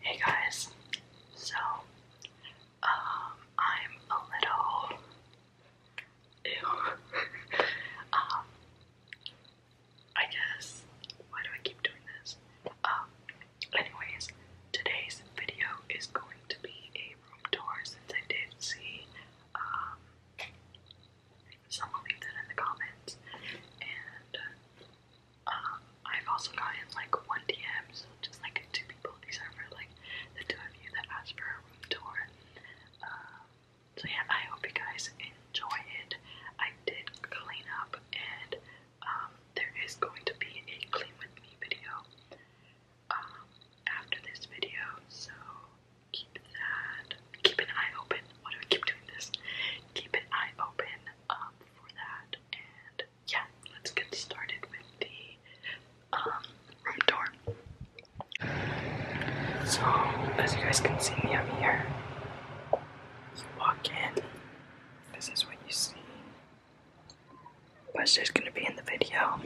Hey guys, so um, I'm a little um, I guess why do I keep doing this? Um, anyways, today's video is going to be a room tour since I did see um, someone leave that in the comments and. I've also gotten like one DM, so just like two people. These are for like the two of you that asked for a room tour. Um, so yeah, I hope you guys enjoy it. I did clean up, and um, there is going to be a clean with me video um, after this video. So keep that, keep an eye open. What do I keep doing this? Keep an eye open um, for that. And yeah, let's get started with the um, room tour. So, as you guys can see, I'm here. You walk in, this is what you see. But gonna be in the video.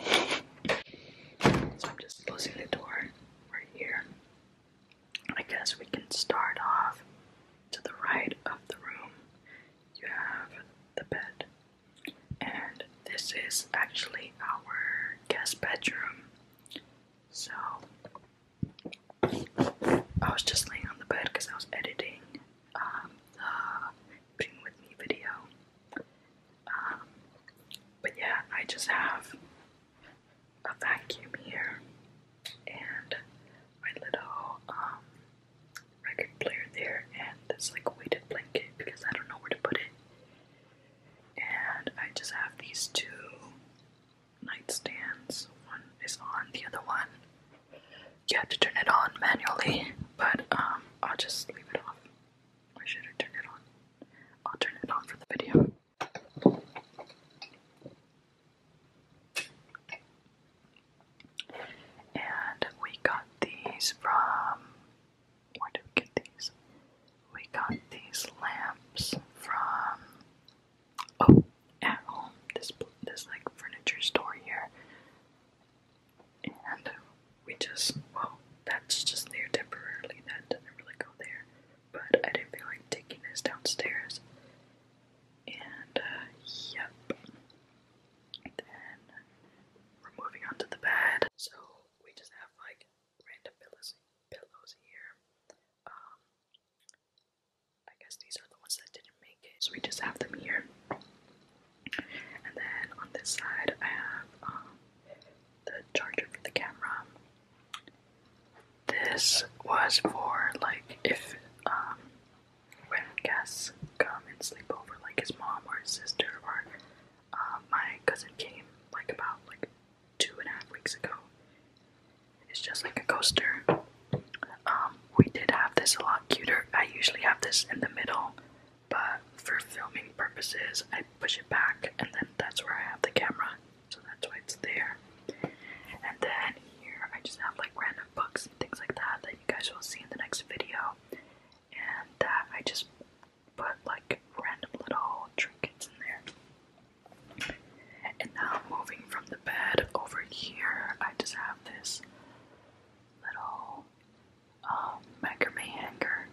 So, I'm just closing the door right here. I guess we can start off to the right of the room. You have the bed, and this is actually our guest bedroom. So I was just laying on the bed because I was editing um, the Being With Me video. Um, but yeah, I just have a vacuum here and my little um record player there and this like weighted blanket because I don't know where to put it. And I just have these two nightstands. One is on, the other one you have to turn it on manually, but um, I'll just leave it off. Or should I turn it on? I'll turn it on for the video. And we got these from. Where did we get these? We got these lamps from. Oh, at home. This this like furniture store here. And we just well, that's just there temporarily. That doesn't really go there. But I didn't feel like taking this downstairs. And uh, yep. Then we're moving on to the bed. So we just have like random pillows, pillows here. Um, I guess these are the ones that didn't make it, so we just have them here. And then on this side, I have um, the charger for the camera. This was for like if um when guests come and sleep over, like his mom or his sister or uh, my cousin came like about like two and a half weeks ago. It's just like a coaster. Um, we did have this a lot cuter. I usually have this in the middle, but for filming purposes, I push it back, and then that's where I have the camera, so that's why it's there. And then here I just have like random books and things like that that you guys will see in the next video. And that uh, I just put like random little trinkets in there. And now moving from the bed over here, I just have this little um, macrame hanger.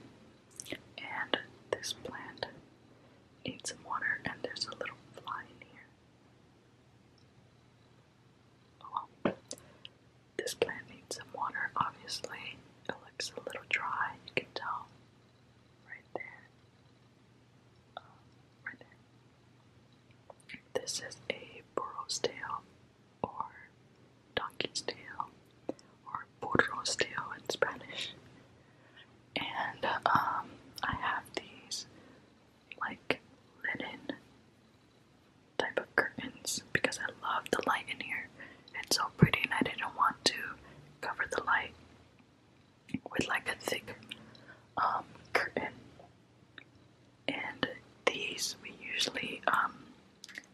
And this plant needs some water, and there's a little fly in here. Oh, this plant needs some water, obviously. It looks a little dry, you can tell. Right there. Um, right there. This is a burro's tail or donkey's tail or burro's tail in Spanish. And um, I have these like linen type of curtains because I love the light in here. It's so pretty and I didn't want to cover the light with like a thick um, curtain. And these we usually um,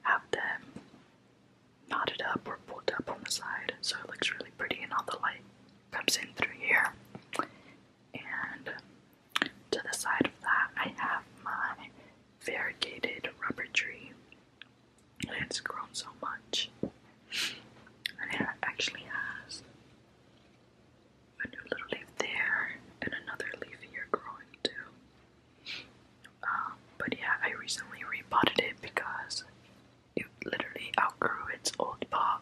have them knotted up or pulled up on the side so it looks really pretty and all the light comes in through here and to the side of that I have my variegated rubber tree and it's grown so much and it actually has a new little leaf there and another leaf here growing too um, but yeah I recently repotted it because it literally outgrew its old pot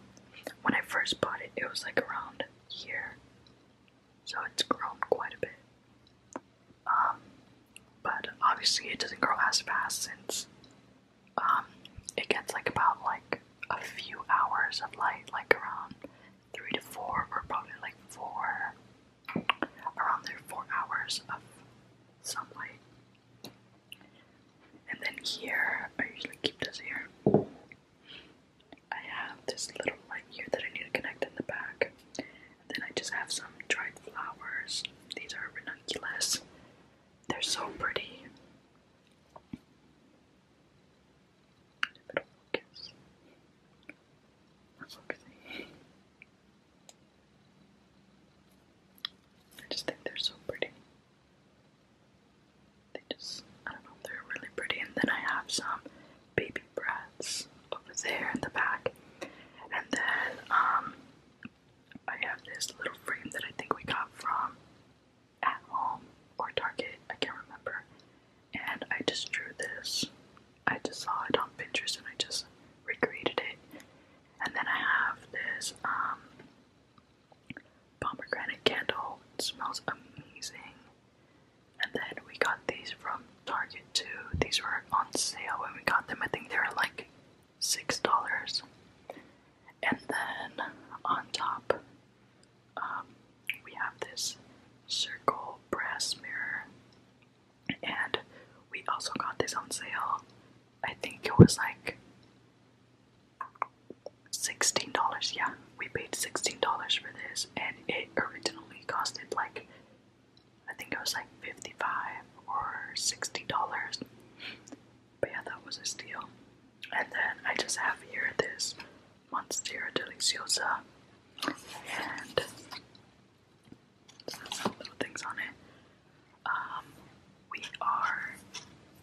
when I first bought it, it was like around here, so it's grown quite a bit. Um, but obviously it doesn't grow as fast since um it gets like about like a few hours of light, like around three to four, or probably like four, around there four hours of sunlight. And then here, I usually keep this here. I have this little light here that I need to connect in the back. And then I just have some dried flowers. These are ranunculus. They're so pretty. Focus. Not focusing. I just think they're so pretty. They just, I don't know, they're really pretty. And then I have some baby breaths over there in the back. And then um, I have this little frame that I think we got from At Home or Target, I can't remember. And I just drew this. I just saw it on Pinterest and I just recreated it. And then I have this um, pomegranate candle. smells amazing. And then we got these from Target too. These were on sale when we got them. I think they were like six dollars. And then on top, um, we have this circle brass mirror, and we also got this on sale. I think it was like $16, yeah, we paid $16 for this, and it originally costed like, I think it was like 55 or $60, but yeah, that was a steal. And then I just have here this Monstera Deliciosa, and little things on it. Um, we are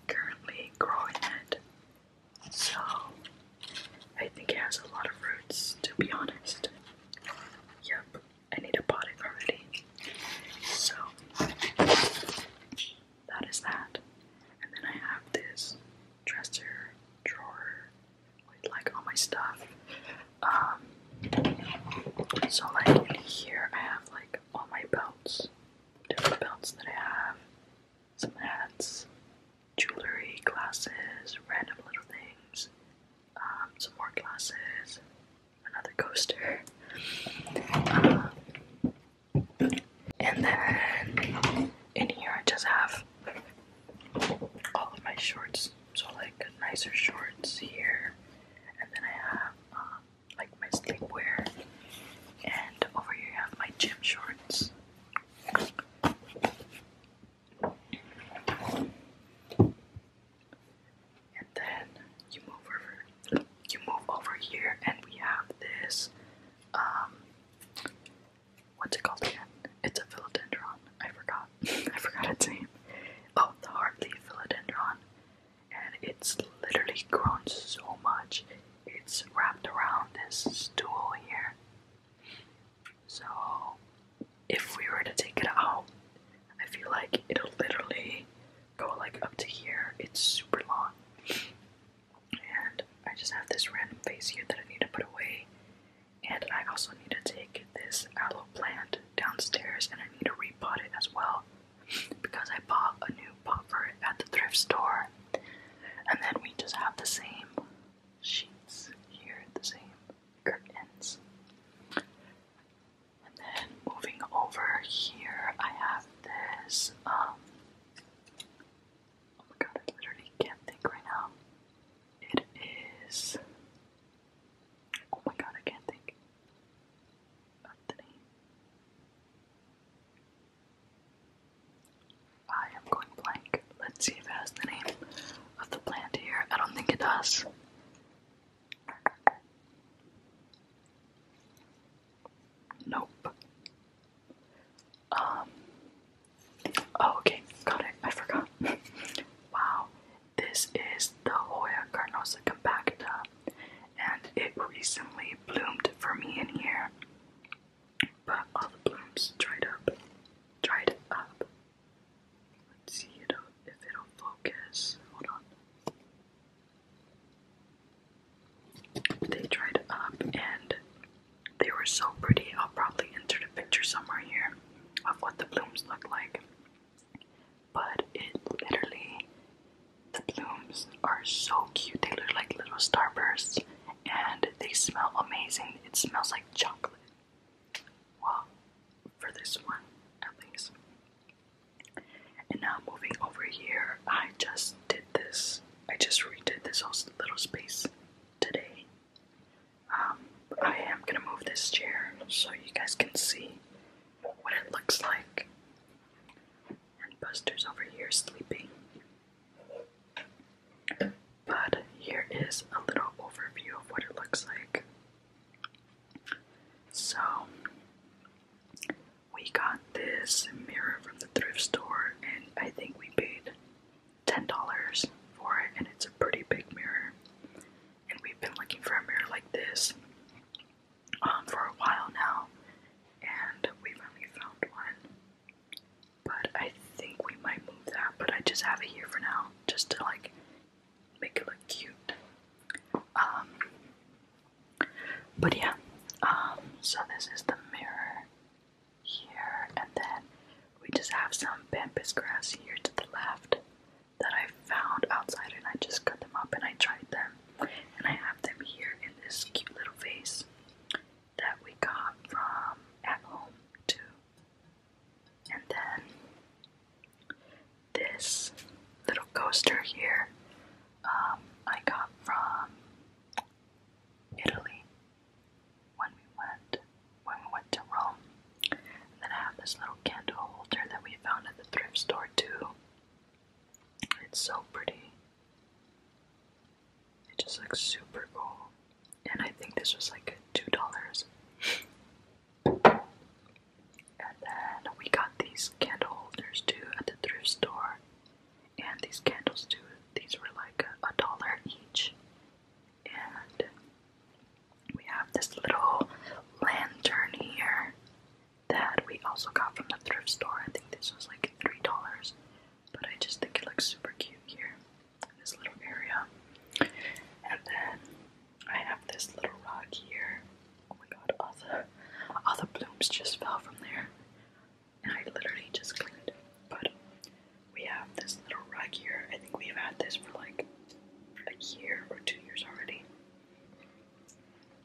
currently growing it so, I think it has a lot of roots, to be honest. Yep, I need a potting already. So, that is that. And then I have this dresser, drawer, with like all my stuff. Um, so like here I have like all my belts, different belts that I have some hats, jewelry, glasses, random little things, um, some more glasses, another coaster. Um, and then in here, I just have all of my shorts, so like nicer shorts here, and then I have um, my my sleepwear. And over here I have my gym shorts. And then you move over you move over here and we have this um, what's it called again? It's a philodendron. I forgot. I forgot its name. Oh, the heartleaf philodendron. And it's literally grown so much it's wrapped around this stool here. So if we were to take it out, I feel like it'll literally go like up to here. It's super long. And I just have this random vase here that I need to put away. And I also need to take this aloe plant downstairs and I need to repot it as well because I bought a new pot at the thrift store and then we just have the same sheets here, the same curtains. And then moving over here, I have this. Um, oh my god, I literally can't think right now. It is. Oh my god, I can't think of I am going blank. Let's see if it has the name of the plant here. I don't think it does. Nope. Um. Oh, okay, got it. I forgot. wow, this is the Hoya carnosa compacta, and it recently bloomed for me in here but all the blooms dried up. Dried up. Let's see if it'll focus. Hold on. They dried up and they were so pretty. I'll probably insert a picture somewhere here of what the blooms look like. But it literally the blooms are so cute. They look like little starbursts and they smell amazing. It smells like chocolate. Well, for this one at least. And now moving over here, I just did this. I just redid this whole little space today. Um, I am gonna move this chair so you guys can see what it looks like. And Buster's over here sleeping. But here is a little overview of what it looks like. So, we got this mirror from the thrift store, and I think we paid $10 for it, and it's a pretty big mirror. And we've been looking for a mirror like this um, for a while now, and we finally found one. But I think we might move that, but I just have it here for now, just to like make it look cute. Um, but yeah, um, so this is the mirror here, and then we just have some pampas grass here to the left that I found outside, and I just cut them up and I tried them, and I have them here in this cute little vase that we got from at home too. And then this little coaster here um, I got from Italy when we went when we went to Rome. And then I have this little candle holder that we found at the thrift store too. It's so pretty. It just looks super cool. And I think this was like $2. and then we got these candle holders too at the thrift store. And these candles too, these were like a, a dollar each. And we have this little lantern here that we also got from the thrift store. I think this was like $3 but I just think it looks super cute here in this little area. And then I have this little rock here. Oh my god, all the, all the blooms just fell from there. And I literally just cleaned it. But we have this little rock here. I think we've had this for like a year or two years already.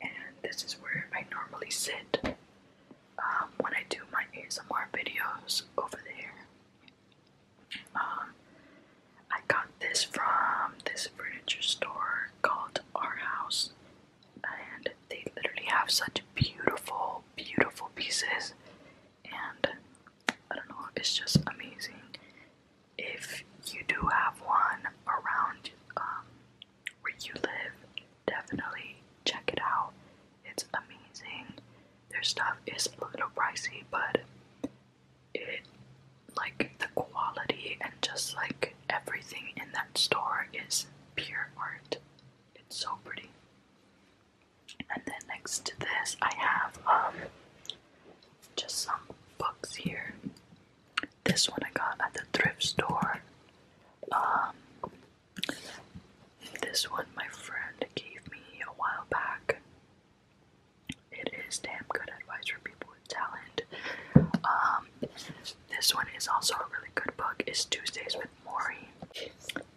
And this is where I normally sit um, when I do my ASMR videos over there. Um, I got this from this furniture store called Our House, and they literally have such beautiful, beautiful pieces, and I don't know, it's just amazing. If you do have one around um, where you live, definitely check it out. It's amazing. Their stuff is a little pricey, but it like the quality and just like everything in that store is pure art. It's so pretty. And then next to this, I have um just some books here. This one I got at the thrift store. Um, this one my friend gave me a while back. It is damn good advice for people with talent. Um, this one is also a really good book. It's Tuesdays with Maury,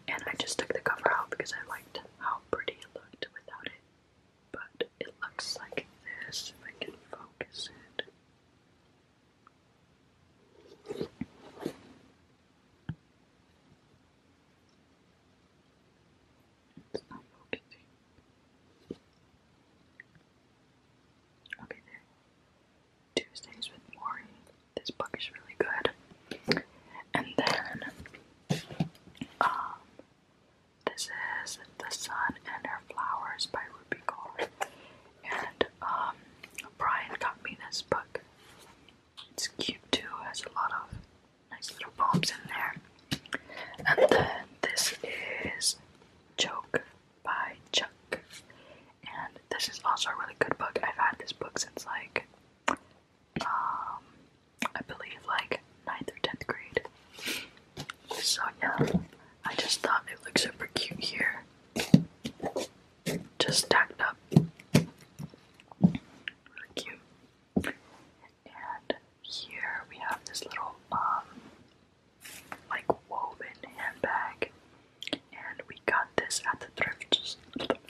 and I just took the cover out because I liked how pretty it looked without it. But it looks like this. If I can focus it. Okay, there. Tuesdays with Maury. This book is really good. And then, um, this is The Sun and Her Flowers by Ruby Carr. And um, Brian got me this book. It's cute too, has a lot of nice little poems in there. And then this is Joke by Chuck. And this is also a really good book. I've had this book since like, um, I believe like 9th or 10th grade. So yeah, I just thought it looked super cute here just stacked up. Really cute. And here we have this little um like woven handbag. And we got this at the thrift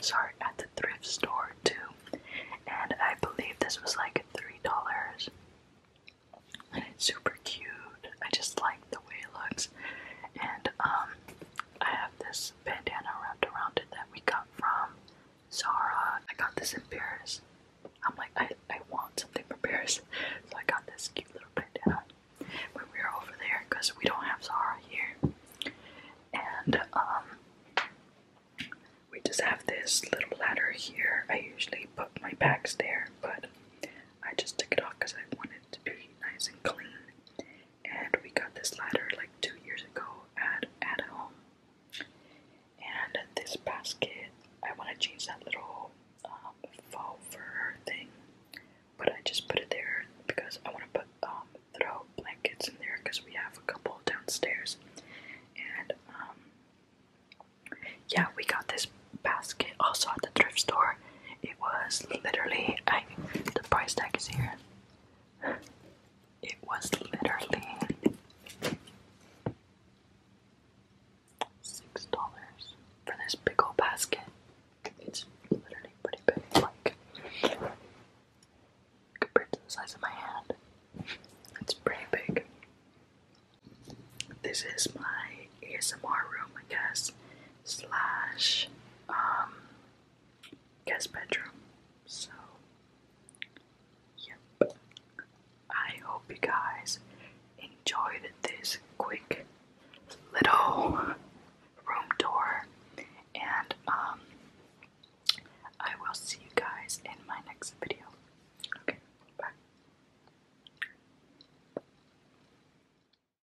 sorry, at the thrift store too. And I believe this was like three dollars. And it's super cute. I just like the way it looks. And um I have this bandana wrapped around it that we got from Zara. I got this in Paris. I'm like, I, I want something from Paris. So I got this cute little bandana when we were over there because we don't have Zara here. And um, we just have this little ladder here. I usually put my bags there, but I just took it off because I wanted it to be nice and clean and we got this ladder like two years ago at at home. And this basket, I want to change that little um, faux fur thing, but I just put it there because I want to put um, throw blankets in there because we have a couple downstairs. And um, yeah, we got this basket also at the thrift store, it was literally I the price tag is here. It was literally six dollars for this big old basket. It's literally pretty big, like compared to the size of my hand. It's pretty big. This is my ASMR room, I guess, slash um, guest bedroom. So, yep. I hope you guys enjoyed this quick little room tour, and um, I will see you guys in my next video. Okay, bye.